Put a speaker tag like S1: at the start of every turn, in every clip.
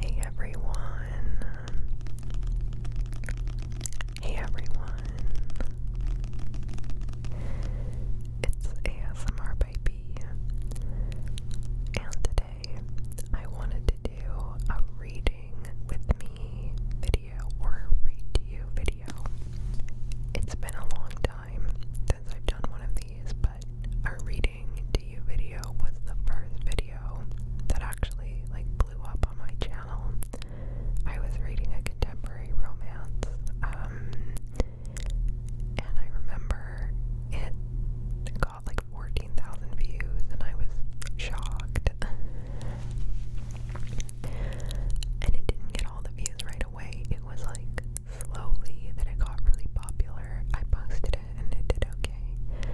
S1: Hey everyone. Hey everyone. It's ASMR Baby. And today I wanted to do a reading with me video or read to you video. It's been a long time since I've done one of these, but our reading to video was the first video that actually like blew up on my channel. I was reading a contemporary romance, um, and I remember it got like 14,000 views, and I was shocked. and it didn't get all the views right right It was like slowly that it got really popular. I posted it and it did okay.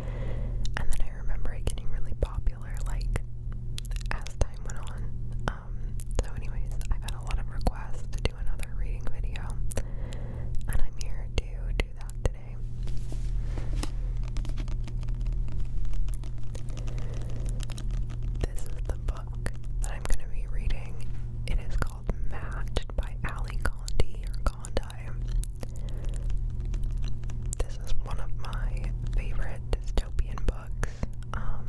S1: And then I remember it getting really popular like as time went on. Um, so anyways, I've had a lot of requests to do another reading video. And I'm here to do that today. This is the that I'm going to be reading. It is called Matched by Ali Condi This is one of my favorite dystopian books. Um,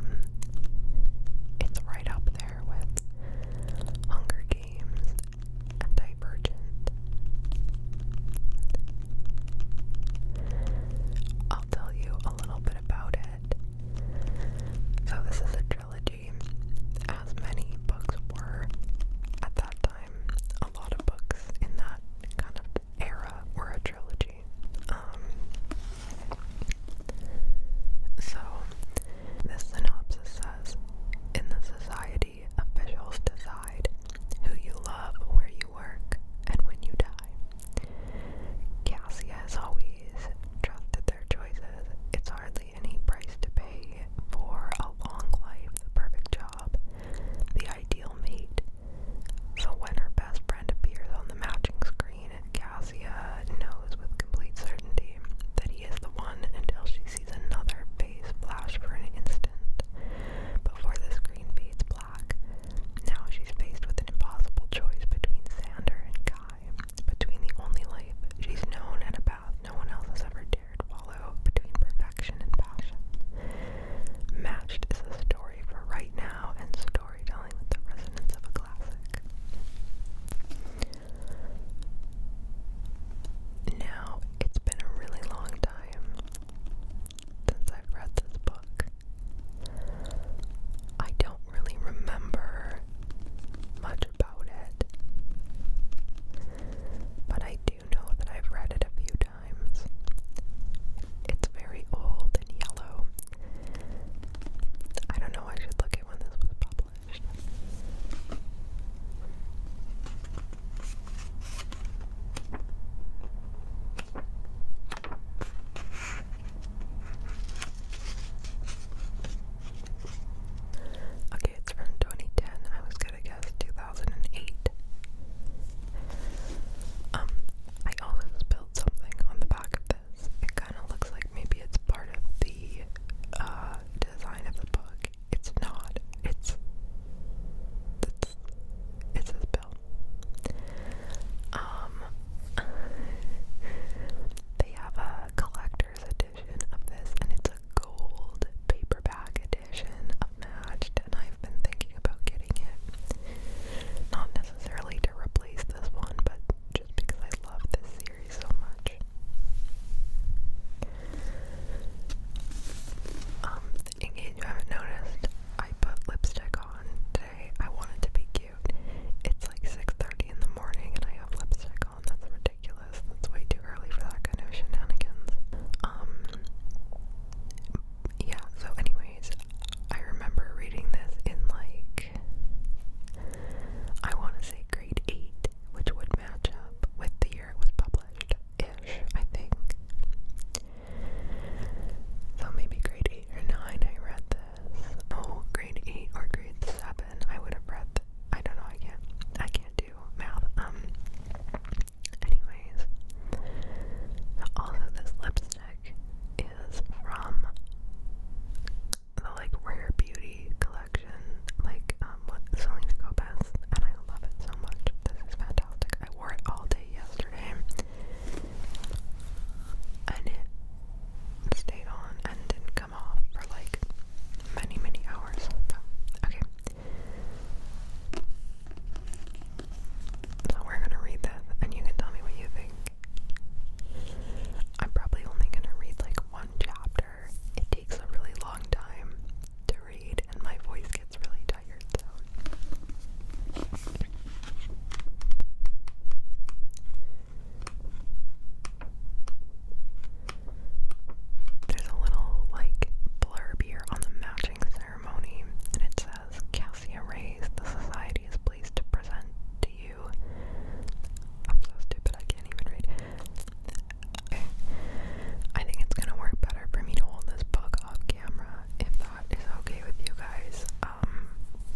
S1: it's right up there with Hunger Games and Divergent. I'll tell you a little bit about it. So this is a trilogy, as many books were at that time. A lot of books in that kind of era were a trilogy. Um, so this synopsis says, in the society, officials decide who you love, where you work, and when you die. Kasia has always trusted their choices. It's hardly any price to pay for a long life, the perfect job, the ideal mate. So when her best friend appears on the matching screen, Kasia knows with complete certainty that he is the one until she sees another face flash for an instant before the screen fades black. Now she's faced with an impossible choice between Sander and Guy, between the only life she's known and a path no one else has ever dared follow, between perfection and passion. Matched is a story for right now and storytelling with the resonance of a classic. Now, it's been a really long time since I've read this book. I don't really remember much about it, but I do know that I've read it a few times. It's very old and yellow. I don't know, I should look at when this was published. Okay, it's from 2010. I was gonna guess 2008. Um, I also spilled something on the back of this. It kind of looks like maybe it's part of the uh, design of the book. It's not. It's. It's. It says um, they have a collector's edition of this, and it's a gold paperback edition of and I've been thinking about getting it. Not necessarily to replace this one, but just because I love this series so much. Um, in case you haven't noticed, I put lipstick on today I wanted to be cute. It's like 6.30 in the morning and I have lipstick on. That's ridiculous. That's way too early for that kind of shenanigans. Um, yeah, so anyways, I remember reading this in like, I want to say grade 8, which would match up with the year it was published-ish, I think. So maybe grade 8 or 9 I read this. Oh, grade eight or grade seven, I would have read. I don't know. I can't. I can't do mouth. Um. Anyways, also this lipstick is from the like rare beauty collection, like um, what Selena Gomez, and I love it so much. This is fantastic. I wore it all day yesterday and it stayed on and didn't come off for like many, many hours. okay. So we're gonna read this and you can tell me what you think. I'm probably only gonna read like one chapter. It takes a really long time to read and my voice gets really tired so there's a little like blurb here on the matching ceremony, and it says Cassia Rays, the society is pleased to present to you. I'm I can't even read. Okay. I think it's gonna work better for me to hold this book off camera if that is okay with you guys. Um,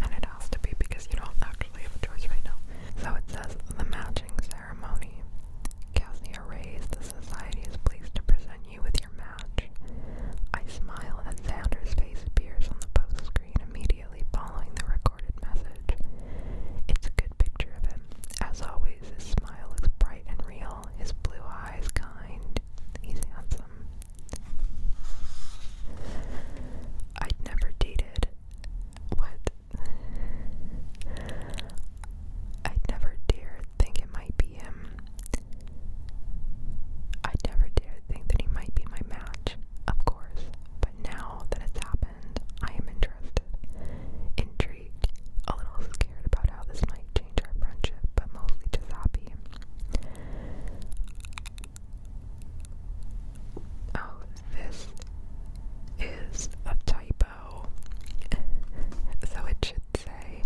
S1: and it has to be because you don't actually have a choice right now. So it says the matching ceremony. Cassia Rays, the society is pleased to present you with your match. I smile as Xander's face appears on the post screen immediately following the recorded message. It's a good picture of him. As always, his smile is bright and real, his blue eyes kind. He's handsome. I'd never dated. What? I'd never dared think it might be him. I'd never dared think that he might be my match, of course, but now that it's happened, I am interested, intrigued, a little scared about how this might change our friendship, but mostly just happy. Oh, this is a typo. so it should say,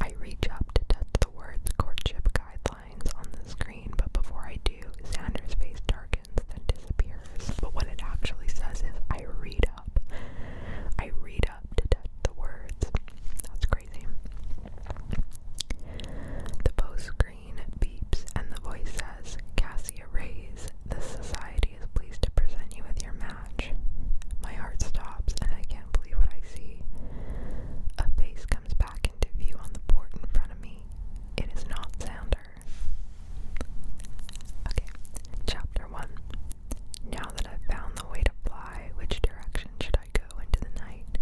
S1: I reach up to touch the words courtship guidelines on the screen, but before I do, Xander's face darkens, then disappears. But what it actually says is, I read up. I read up to touch the words. That's the post screen beeps and the voice says, Cassia Rays, this society is pleased to present you with your match. My heart stops and I can't believe what I see. A face comes back into view on the board in front of me. It is not Xander. Okay, chapter 1. Now that I've found the way to fly, which direction should I? I go into the night.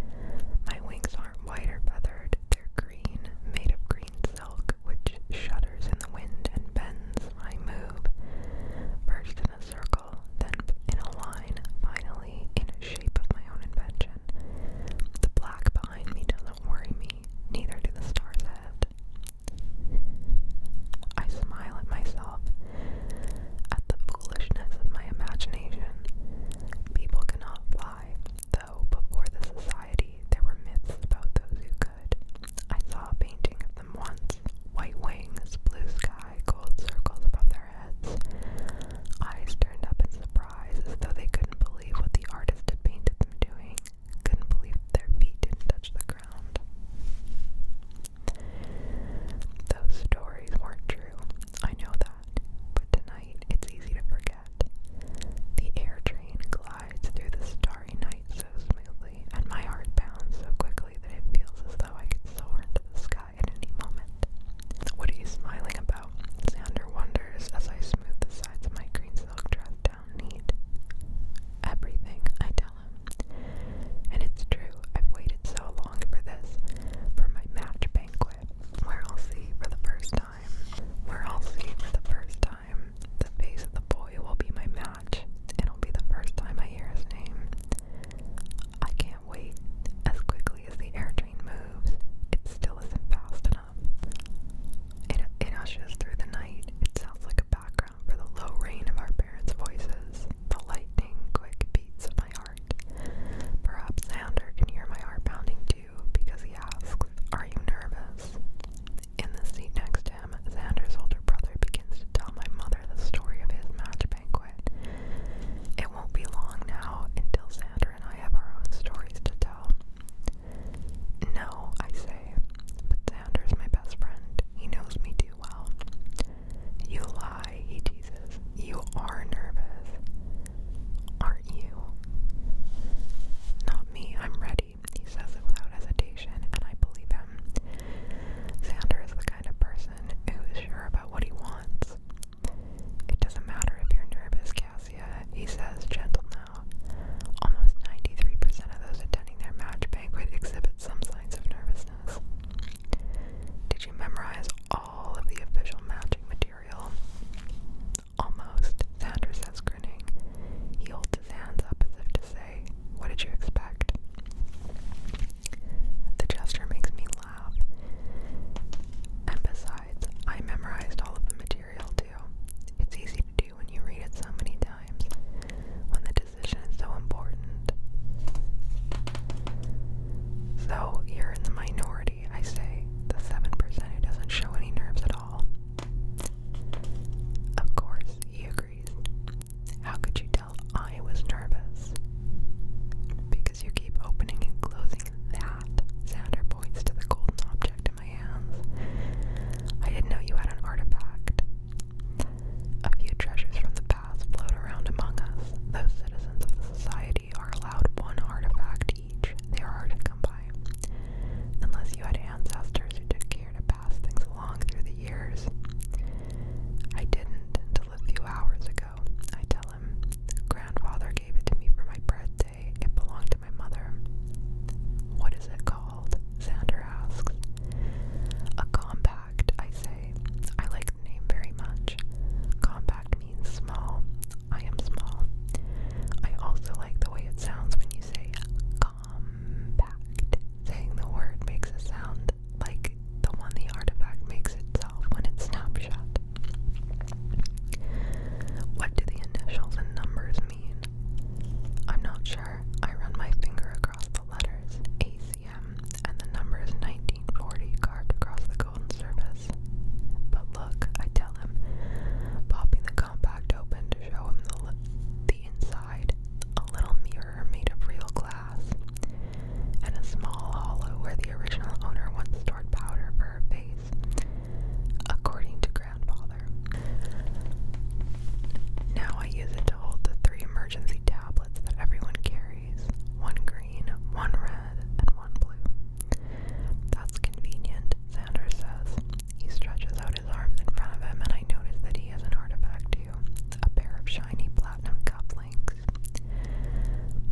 S1: My wings aren't white or feathered, they're green, made of green silk, which shudders in the wind and bends. I move, first in a circle, then in a line, finally in a shape of my own invention. The black behind me doesn't worry me, neither do the stars ahead. I smile at myself at the foolishness of my imagination. People cannot fly, though before the society there were myths about those who could. I saw a painting of them once white wings, blue sky, gold circles above their heads. Eyes turned up in surprise as though they couldn't believe what the artist had painted them doing, couldn't believe their feet didn't touch the ground. Those stories weren't true. I know that but tonight it's easy to forget. The air train glides through the starry night so smoothly, and my heart bounds so quickly that it feels as though I could soar into the sky at any moment. What are you smiling about? Xander wonders as I smooth the sides of my green silk dress down neat. Everything, I tell him. And it's true, I've waited so long for this, for my match banquet where I'll see for the first time. Where I'll see for the first time. The face of the boy will be my match. It'll be the first time I hear his name. I can't wait. As quickly as the air train moves, it still isn't fast enough. It, it hushes through the night. It sounds like a background for the low rain of our parents' voices, the lightning quick beats of my heart heart. Perhaps Xander can hear my heart pounding too because he asks, Are you nervous? In the seat next to him, Xander's older brother begins to tell my mother the story of his match banquet. It won't be long now until Xander and I have our own stories to tell. No, I say, but Xander's my best friend. He knows me too well. You lie, he teases. You are nervous. Aren't you? Not me, I'm ready, he says it without hesitation, and I believe him. Sander is the kind of person who is sure about what he wants. It doesn't matter if you're nervous, Cassia, he says, gentle now. Almost 93% of those attending their match banquet exhibit some signs of nervousness. Did you memorize all of the official matching material. Almost, Sanders says, grinning. He holds his hands up as if to say, What did you expect? The gesture makes me laugh. And besides, I memorized all of the material too. It's easy to do when you read it so many times, when the decision is so important. So you're in the minority, I say, the 7% who doesn't show any nerves at all. Of course, he agrees. How could you tell I was nervous? Because you keep opening and closing that. Sander points to the golden object in my hands. I didn't know you had an artifact. A few treasures from the past float around among us, those citizens of the society are allowed one artifact each they are hard to come by unless you had ancestors who took care to pass things along through the years i didn't until a few hours ago i tell him grandfather gave it to me for my birthday it belonged to my mother what is it called xander asks a compact i say i like the name very much compact means small. I am small. I also like the way it sounds when you say compact. Saying the word makes a sound like the one the artifact makes itself when it's snapshot. What do the initials and numbers mean? I'm not sure. I run my finger across the letters AC and the number is 1940 carved across the golden surface. But look, I tell him, popping the compact open to show him the, the inside, a little mirror made of real glass, and a small hollow where the original owner once stored powder for her face, according to grandfather. Now I use it to hold the three emergency tablets that everyone carries one green, one red, and one blue. That's convenient, Sanders says. He stretches out his arms in front of him, and I notice that he has an artifact too a pair of shiny platinum cufflinks.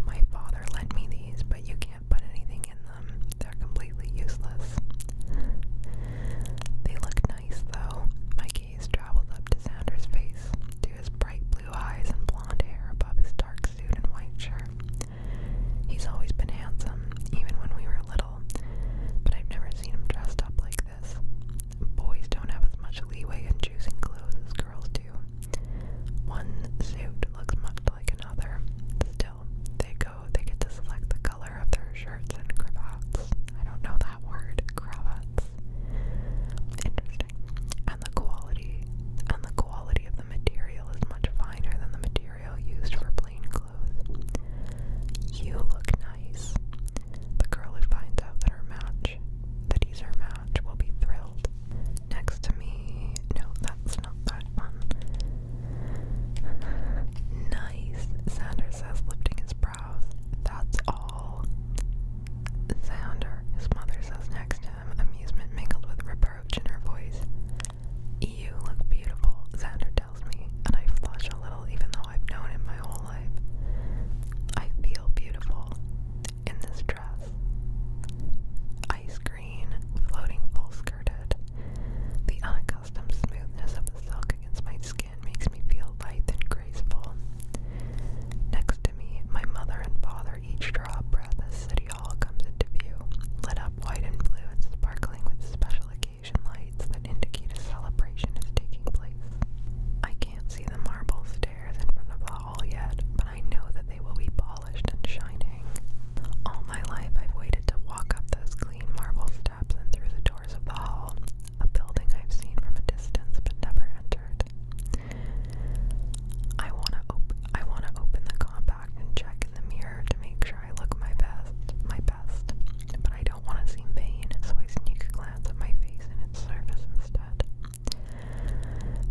S1: My father lent me these, but you can't put anything in them. They're completely useless. They look nice, though. My gaze travels up to Sanders' face, through his bright blue eyes and blonde hair above his dark suit and white shirt. He's always been handsome, even when we were little, but I've never seen him dressed up like this. Boys don't have as much leeway in choosing clothes as girls do. One suit looks much like another. Still, they go, they get to select the color of their shirts and cravats. I don't know that word, cravats interesting. And the quality and the quality of the material is much finer than the material used for plain clothes. You look nice. The girl who finds out that her match that he's her match will be thrilled. Next to me no, that's not that one. nice, Sanders says, lifting his brows. That's all. Sounder, his mother says next to him, amusement mingled with reproach in her voice. You look beautiful, Xander tells me, and I flush a little even though I've known him my whole life. I feel beautiful in this dress. Ice green, floating full skirted. The unaccustomed smoothness of the silk against my skin makes me feel light and graceful. Next to me, my mother and father each draw breath as City Hall comes into view, lit up white and blue and sparkling with special occasion lights that indicate a celebration is taking place. I can't see the marble stairs in front of the hall yet, but I know that they will be polished and shining. All my life I've waited to walk up those clean marble steps and through the doors of the hall, a building I've seen from a distance but never entered. I wanna op I wanna open the compact and check in the mirror to make sure I look my best, my best. But I don't wanna seem vain, so I sneak a glance at my face and its surface instead.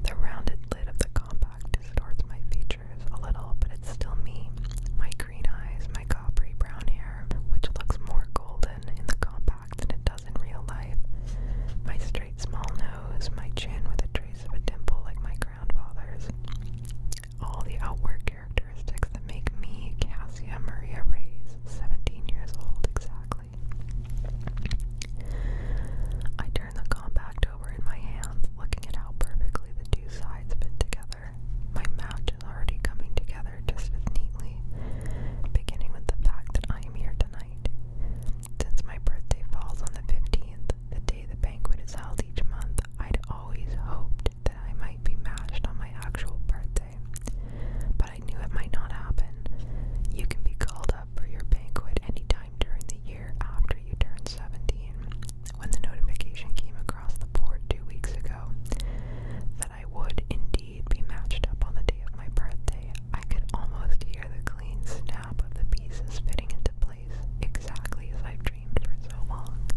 S1: The rounded lid of the compact distorts my features a little, but it's still me. My green eyes, my coppery brown hair, which looks more golden in the compact than it does in real life. My straight, small nose, my chin with a trace of a dimple like my grandfather's, all the outward characteristics that make me Cassia Maria Reyes, 17 years old exactly. I turn the compact over in my hands, looking at how perfectly the two sides fit together. My match is already coming together just as neatly, beginning with the fact that I am here tonight. Since my birthday falls on the 15th, the day the banquet is held each month, I'd always hoped that I might be matched on my actual birthday. But I knew it might not happen. You can be called up for your banquet anytime during the year after you turn 17. When the notification came across the board two weeks ago that I would indeed be matched up on the day of my birthday, I could almost hear the clean snap of the pieces fitting into place, exactly as I've dreamed for so long.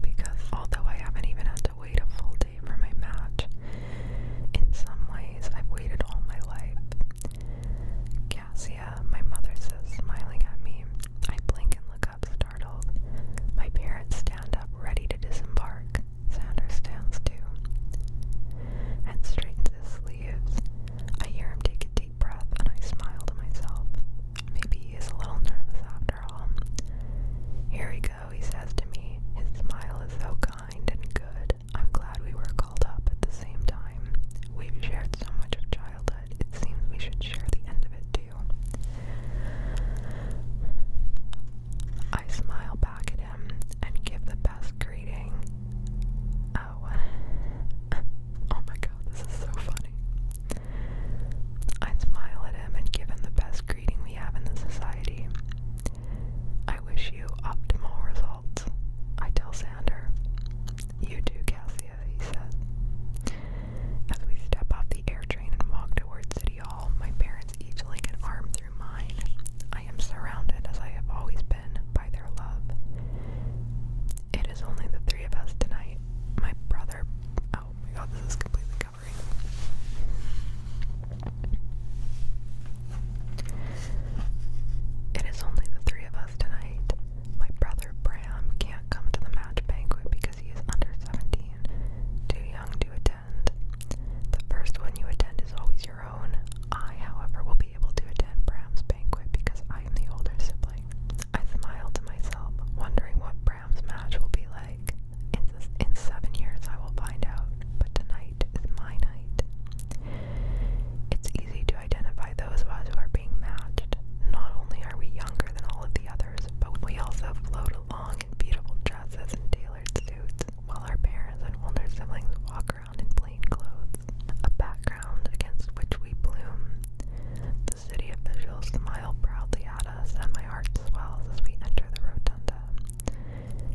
S1: Because although I haven't even had to wait a full day for my match, in some ways I've waited all my life. Cassia, my mother says, smiling at me. I blink and look up, startled. My parents stand up, ready to disembark. Sander stands too and straightens his sleeves. I hear him take a deep breath and I smile to myself. Maybe he is a little nervous after all. Here we go, he says to me. His smile is so kind and good. I'm glad we were called up at the same time. We've shared so much of childhood. It seems we should share the end of it too. I smile back at and give the best greeting. Oh. oh my god, this is so funny. I smile at him and give him the best greeting we have in the society. I wish you optimal results, I tell Sander. You too, Cassia, he said. As we step off the air train and walk towards City Hall, my parents each link an arm through mine. I am surrounded, as I have always been, by their love. It is only the three of us tonight. My brother. Oh my god, this is completely covering. It is only the three of us tonight. My brother Bram can't come to the match banquet because he is under 17, too young to attend attend. The first one you attend is always your own. I, however, will be able to attend Bram's banquet because I am the older sibling. I smile to myself, wondering what Bram's match will be like. In, in seven years, I will find out, but tonight is my night. It's easy to identify those of us who are being matched. Not only are we younger than all of the others, but we also float along in beautiful dresses and tailored suits while our parents and older siblings walk around in plain clothes, a background against which we bloom. The city officials smile proudly at us, and my heart swells as we enter the rotunda.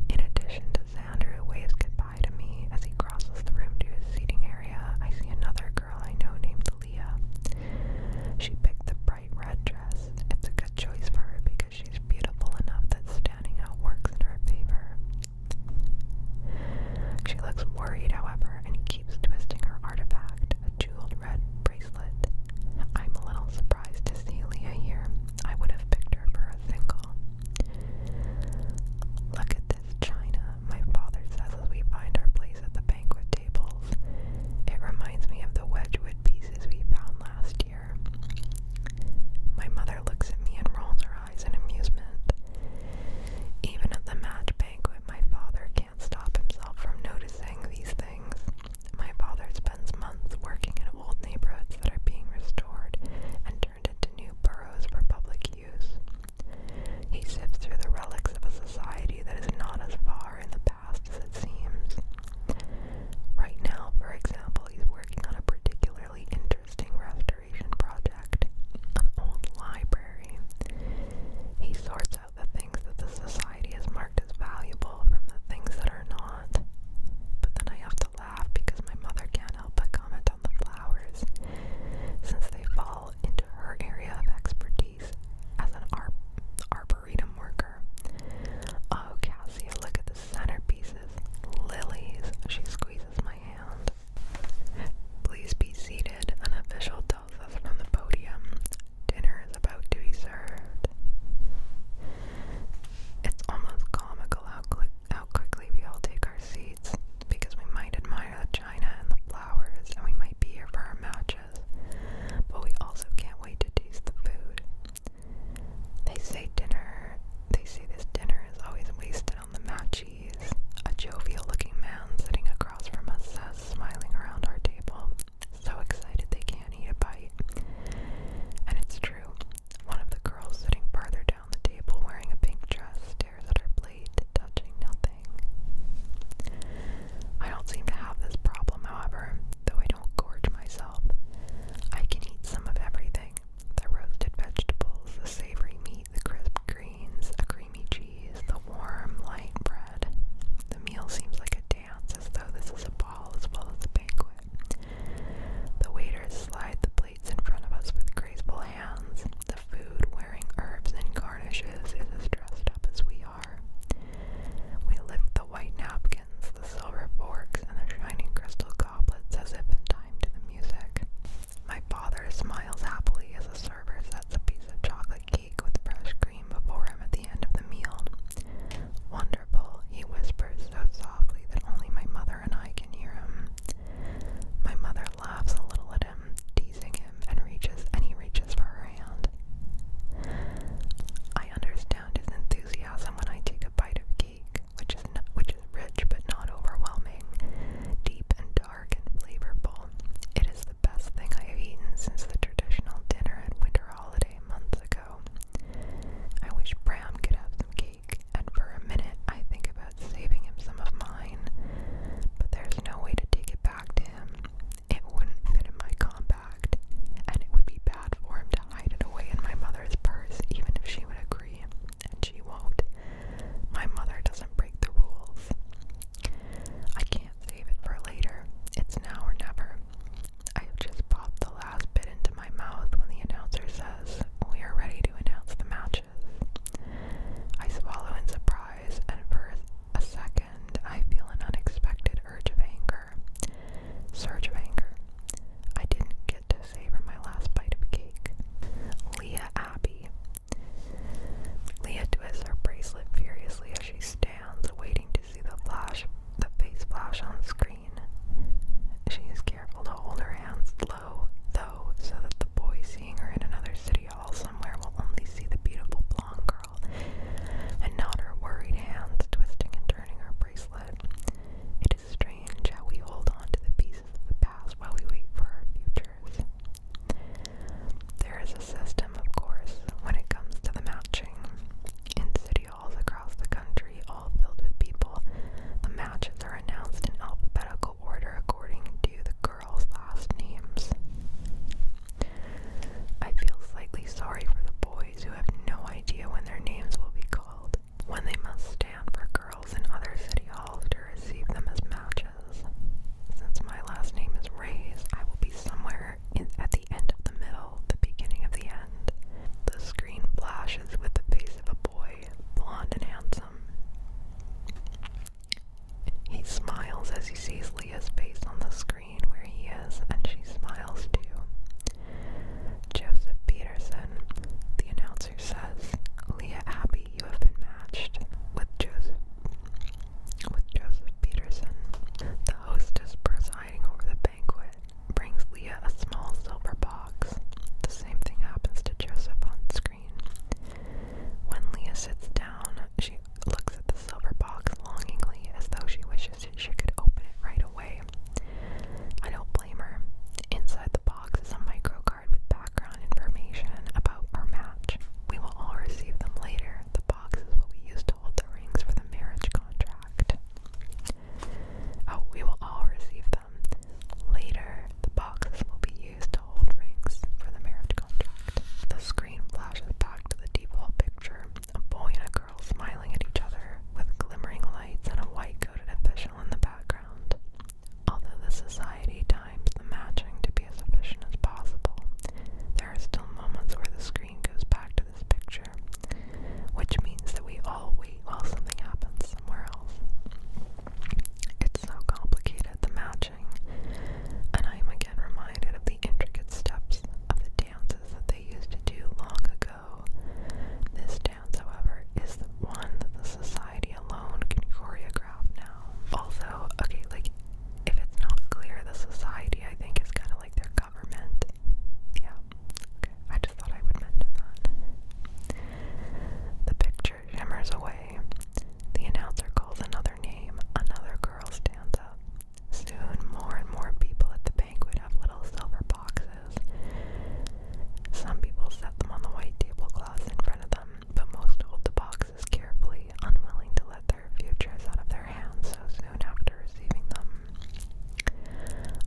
S1: In addition to Xander, who waves goodbye to me as he crosses the room to his seating area, I see another girl I know named Leah. She picked the bright red dress. It's a good choice for her because she's beautiful enough that standing out works in her favor. She looks worried, however, and keeps twisting her artifact, a jeweled red bracelet. I'm a little surprised to see Leah here. I would have picked her for a single. Look at this china, my father says as we find our place at the banquet tables. It reminds me of the Wedgwood pieces we found last year. My mother looks at me and rolls her eyes in amusement. Even at the match banquet, my father can't stop himself from noticing these things. My father spends months working in old neighborhoods that are being restored and turned into new boroughs for public use. He sifts through the relics of a society that is not as far in the past as it seems. Right now, for example, he's working on a particularly interesting restoration project, an old library. He sorts out the things that the society has marked as valuable from the things that are not. But then I have to laugh because my mother can't help but comment on the flowers, since they fall into her area of expertise as an ar arboretum worker. Oh, Cassie, look at the centerpieces. Lilies, she squeezes my hand. Please be seated, an official tells us from the podium. Dinner is about to be served. It's almost comical how quickly we all take our seats because we might admire the china and the flowers and we might be here for our matches, but we also can't wait to taste the food. They say dinner, they say this dinner is always wasted on the Machis, a jovial looking man sitting across from us says, smiling around our table, so excited they can't eat a bite. And it's true, one of the girls sitting farther down the table wearing a pink dress stares at her plate, touching nothing. I don't seem to have this problem, however, though I do gorge myself. I can eat some of everything the roasted vegetables, the savory meat, the crisp greens, the creamy cheese, the warm, light bread. The meal seems like a dance, as though this is a ball as well as a banquet. The waiters slide the plates in front of us with graceful hands. The food, wearing herbs and garnishes, is as dressed up as we are. We lift the white napkin flagons, the silver forks, and the shining crystal goblets as if in time to the music. My father smiles happily as a server sets a piece of chocolate cake with fresh cream before him at the end of the meal. Wonderful, he whispers so softly that only my mother and I can hear him. My mother laughs a little at him, teasing him, and reaches and he reaches for her hand. I understand his enthusiasm when I take a bite of cake which is which is rich but not overwhelming, deep and dark and flavorful. It is the best thing I have eaten since the traditional dinner at winter holiday months ago. I wish Bram could have some cake, and for a minute I think about saving him some of mine, but there's no way to take it back to him. It wouldn't fit in my comp and it would be bad for him to hide it away in my mother's purse, even if she would agree, and she won't. My mother doesn't break the rules. I can't save it for later. It's now or never. I just popped the last bit into my mouth when the announcer says, We are ready to announce the matches. I swallow in surprise, and for a second I feel an unexpected urge of anger. Surge of anger. I didn't get to savor my last bite of cake. Leah Abbey. Leah twists her bracelet furiously as she stands, waiting to see the flash, the face flash on screen. She is careful to hold her hands low, though, so that the boy seeing her in another city hall somewhere will only see the beautiful blonde girl, and not her worried hands twisting and turning her bracelet. It is strange how we hold on to the pieces of the past while we wait for our futures. There is a system, of course, when it comes to the matching. In city halls across the country, all filled with people, the matches are announced in alphabetical order according to the girls' last names. I feel slightly sorry for the boys who have no idea when their names will be called called, when they must stand for girls in other city halls to receive them as matches. Since my last name is Rays, I will be somewhere in, at the end of the middle, the beginning of the end. The screen flashes with the face of a boy, blond and handsome. He smiles as he sees Leah's face on the screen where he is, and she smiles too. Joseph Peterson, the announcer says, Leah Abbey, you have been matched with Joseph with Joseph Peterson. The hostess presiding over the banquet brings Leah a small silver box. The same thing happens to Joseph on screen. When Leah sits down, she looks at the silver box longingly as though she wishes she could open it right away. I don't blame her. Inside the box is a microcard with background information about our match. We will all receive them later. The box is what we use to hold the rings for the marriage contract. Oh, we will all receive them. Later, the boxes will be used to hold rings for the marriage contract. The screen flashes back to the default picture a boy and a girl smiling at each other with glimmering lights and a white coated official in the background. Although the society times the matching to be as efficient as possible, there are still moments where the screen goes back to this picture, which means that we all wait while something happens somewhere else. It's so complicated, the matching, and I am again reminded of the intricate steps of the dances that they used to do long ago this dance, however, is the one that the society alone can choreograph now. Also, okay, like, if it's not clear, the society, I think, is kind of like their government. Yeah, okay, I just thought I would mention that. The picture shimmers away. The announcer calls another name, another girl stands up. Soon, more and more people at the banquet have little silver boxes some people set them on the white tablecloths in front of them, but most hold the boxes carefully, unwilling to let their futures out of their hands so soon after receiving them.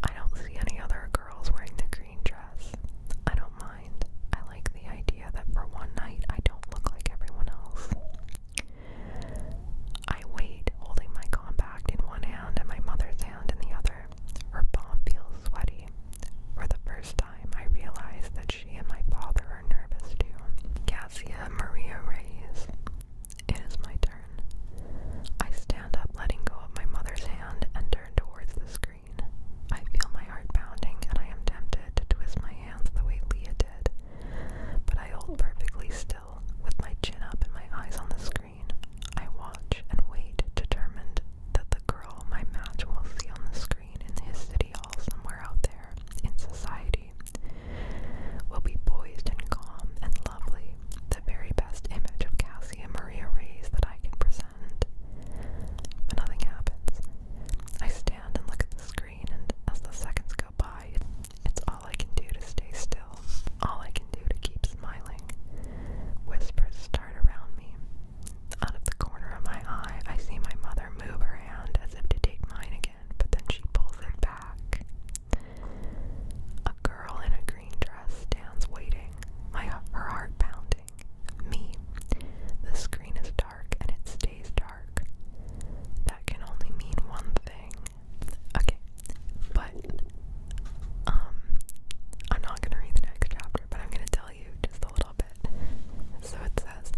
S1: I don't see any other girls wearing the green dress. I don't mind. I like the idea that for one night I don't look like everyone else. I wait, holding my compact in one hand and my mother's hand in the other. Her palm feels sweaty. For the first time, I realize that she and my father are nervous too. Cassia Maria Reyes. It is my turn. I stand up, letting go of my mother's hand, and turn towards the screen. I feel my heart pounding, and I am tempted to twist my hands the way Leah did. But I hold perfectly still, with my chin up and my eyes on the screen. I watch and wait, determined that the girl my match will see on the screen in his city hall somewhere out there in society will be poised and calm and lovely, the very best image of Cassie and Maria Reyes that I can present. But nothing happens. I stand and look at the screen, and as the seconds go by, it's all I can do to stay still, all I can do to keep smiling. Whispers start around me. Out of the corner of my eye, I see my mother move her hand as if to take mine again, but then she pulls it back. A girl in a green dress stands waiting, my, her heart pounding. Me. The screen is dark and it stays dark. That can only mean one thing Okay, but um, I'm not gonna read the next chapter, but I'm gonna tell you just a little bit. So it says,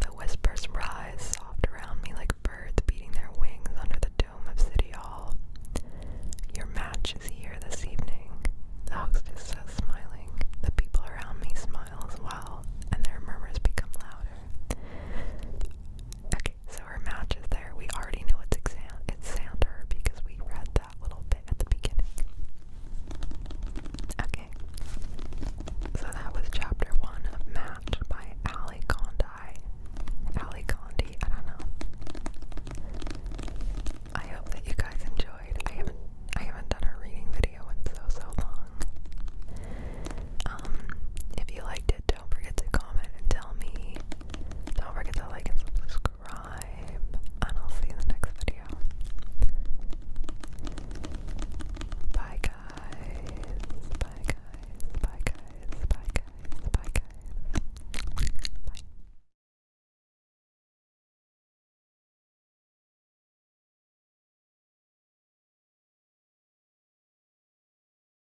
S1: the whispers rise soft around me like birds beating their wings under the dome of City Hall. Your match is here this evening. The hostess says, smiling. The people around me smile as well, and their murmurs become louder. So her match is there. We already know it's exam it's Sander because we read that little bit at the beginning. Okay. So that was chapter one of Match by Ali Condi. Ali Condi, I don't know. I hope that you guys enjoyed. I haven't I haven't done a reading video in so so long. Um, if you liked it, don't forget to comment and tell me don't forget to like and subscribe, and I'll see you in the next video. Bye, guys. Bye, guys. Bye, guys. Bye, guys. Bye, guys. Bye.